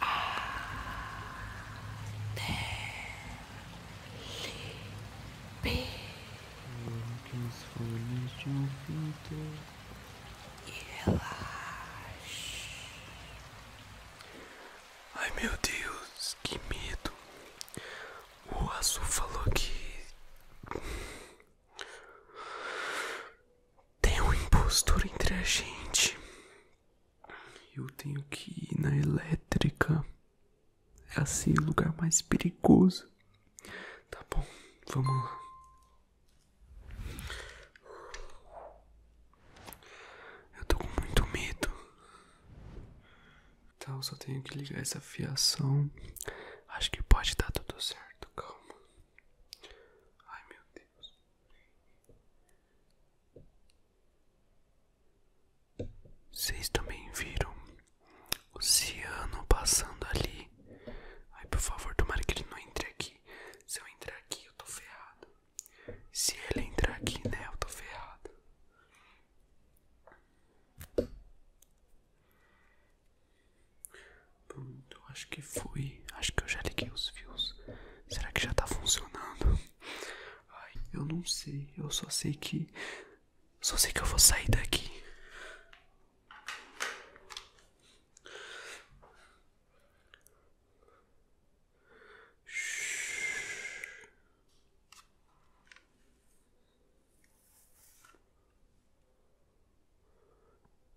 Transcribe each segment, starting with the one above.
A as folhas de um ouvido e relaxe. Ai meu Deus, que medo! O Azul falou que. Tem um impostor entre a gente. Eu tenho que ir na elétrica. É assim o lugar mais perigoso. Tá bom, vamos lá. Eu tô com muito medo. Tá, só tenho que ligar essa fiação. Acho que pode dar tudo certo, calma. Ai meu Deus. Vocês também viram o ciano passando ali. Ai, por favor, tomara que ele não entre aqui. Se eu entrar aqui, eu tô ferrado. Se ele entrar aqui, né, eu tô ferrado. Pronto, acho que foi. Acho que eu já liguei os fios. Será que já tá funcionando? Ai, eu não sei. Eu só sei que. Só sei que eu vou sair daqui.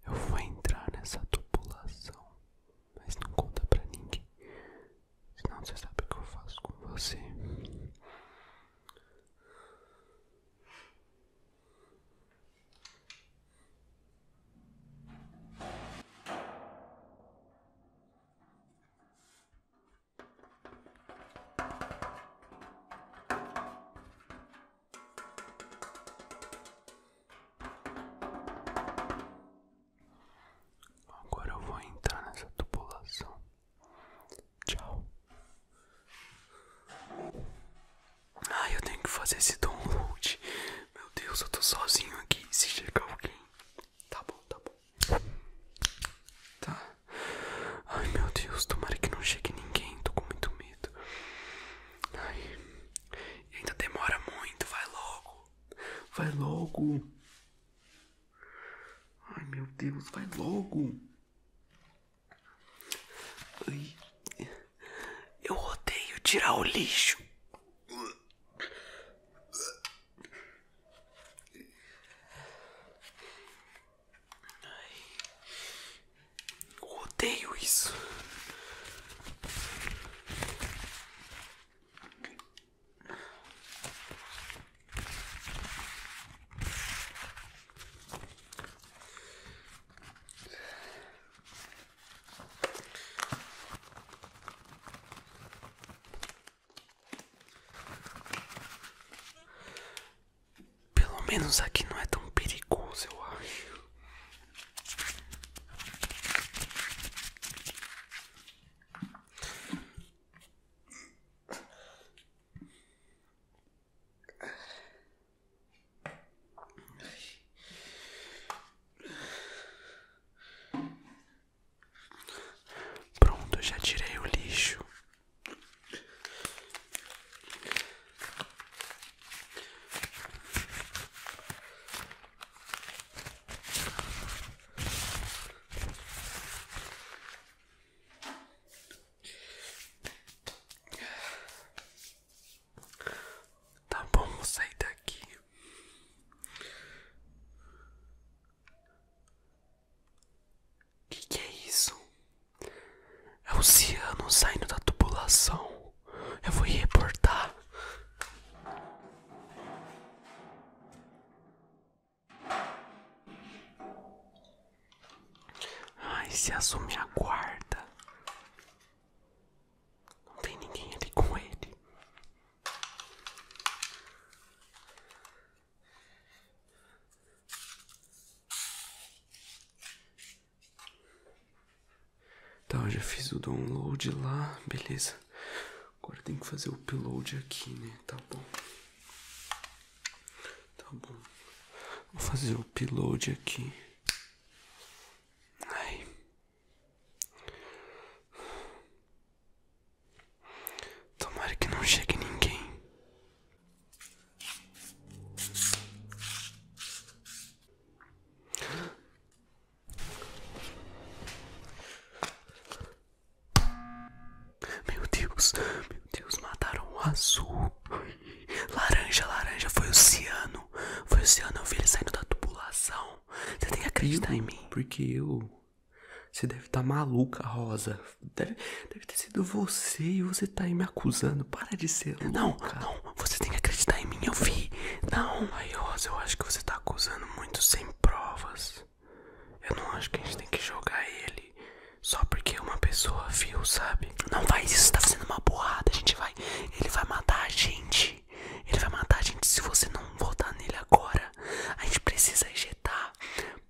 Eu vou entrar nessa tubulação, mas não conta pra ninguém. Senão você sabe o que eu faço com você. Agora eu vou entrar nessa tubulação. Tchau. Ah, eu tenho que fazer esse download. Meu Deus, eu tô sozinho aqui. Se chegar alguém. Tá bom, tá bom. Tá. Ai, meu Deus, tomara que não chegue ninguém. Tô com muito medo. Ai ainda demora muito, vai logo. Vai logo. Ai meu Deus, vai logo. Eu odeio tirar o lixo. Eu odeio isso. Pelo menos aqui não é tão perigoso, eu acho. Pronto, já tirei o lixo. Tá bom, vou sair daqui. Que que é isso? É o ciano saindo da tubulação. Eu vou reportar. Ai, se assume a guarda. Não tem ninguém ali com ele. Tá, eu já fiz o download lá, beleza. Agora tem que fazer o upload aqui, né? Tá bom. Tá bom. Vou fazer o upload aqui. Tomara que não chegue ninguém. Meu Deus, meu Deus, mataram o azul. Laranja, laranja, foi o ciano. Foi o ciano, eu vi ele saindo da tubulação. Você tem que acreditar em mim. Porque eu. Você deve estar tá maluca, Rosa. Deve, ter sido você e você tá aí me acusando. Para de ser louca. Não, não, você tem que acreditar em mim, eu vi. Não, aí Rosa, eu acho que você tá acusando muito sem provas. Eu não acho que a gente tem que jogar ele só porque uma pessoa viu, sabe? Não faz isso, tá fazendo uma porrada. A gente vai. Ele vai matar a gente. Ele vai matar a gente se você não votar nele agora. A gente precisa injetar.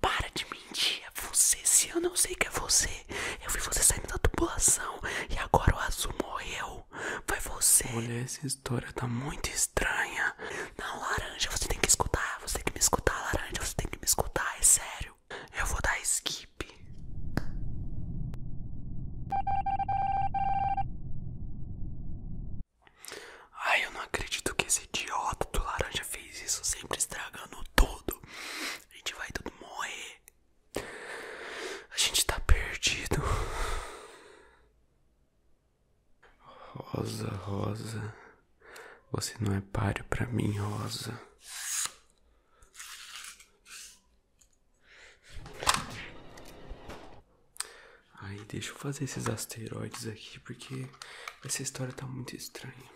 Para de mentir, é você. Se eu não sei que é você, eu vi você saindo da tubulação e agora o azul morreu. Foi você. Olha, essa história tá muito estranha. Não, laranja, você tem que escutar. Você tem que me escutar, laranja. Você tem que me escutar, é sério. Eu vou dar skip. Ai, eu não acredito que esse idiota do laranja fez isso, sempre estragando tudo. A gente vai tudo morrer. A gente tá perdido. Rosa, Rosa. Você não é páreo pra mim, Rosa. Aí, deixa eu fazer esses asteroides aqui, porque essa história tá muito estranha.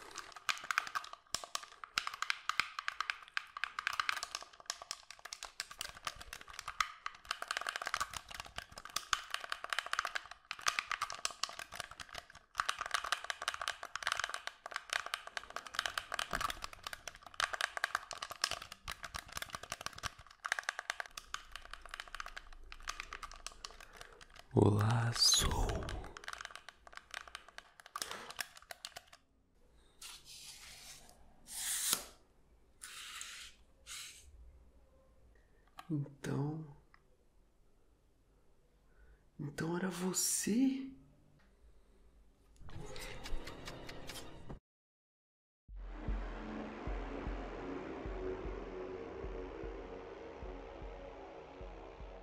Olá, sou então. Então era você?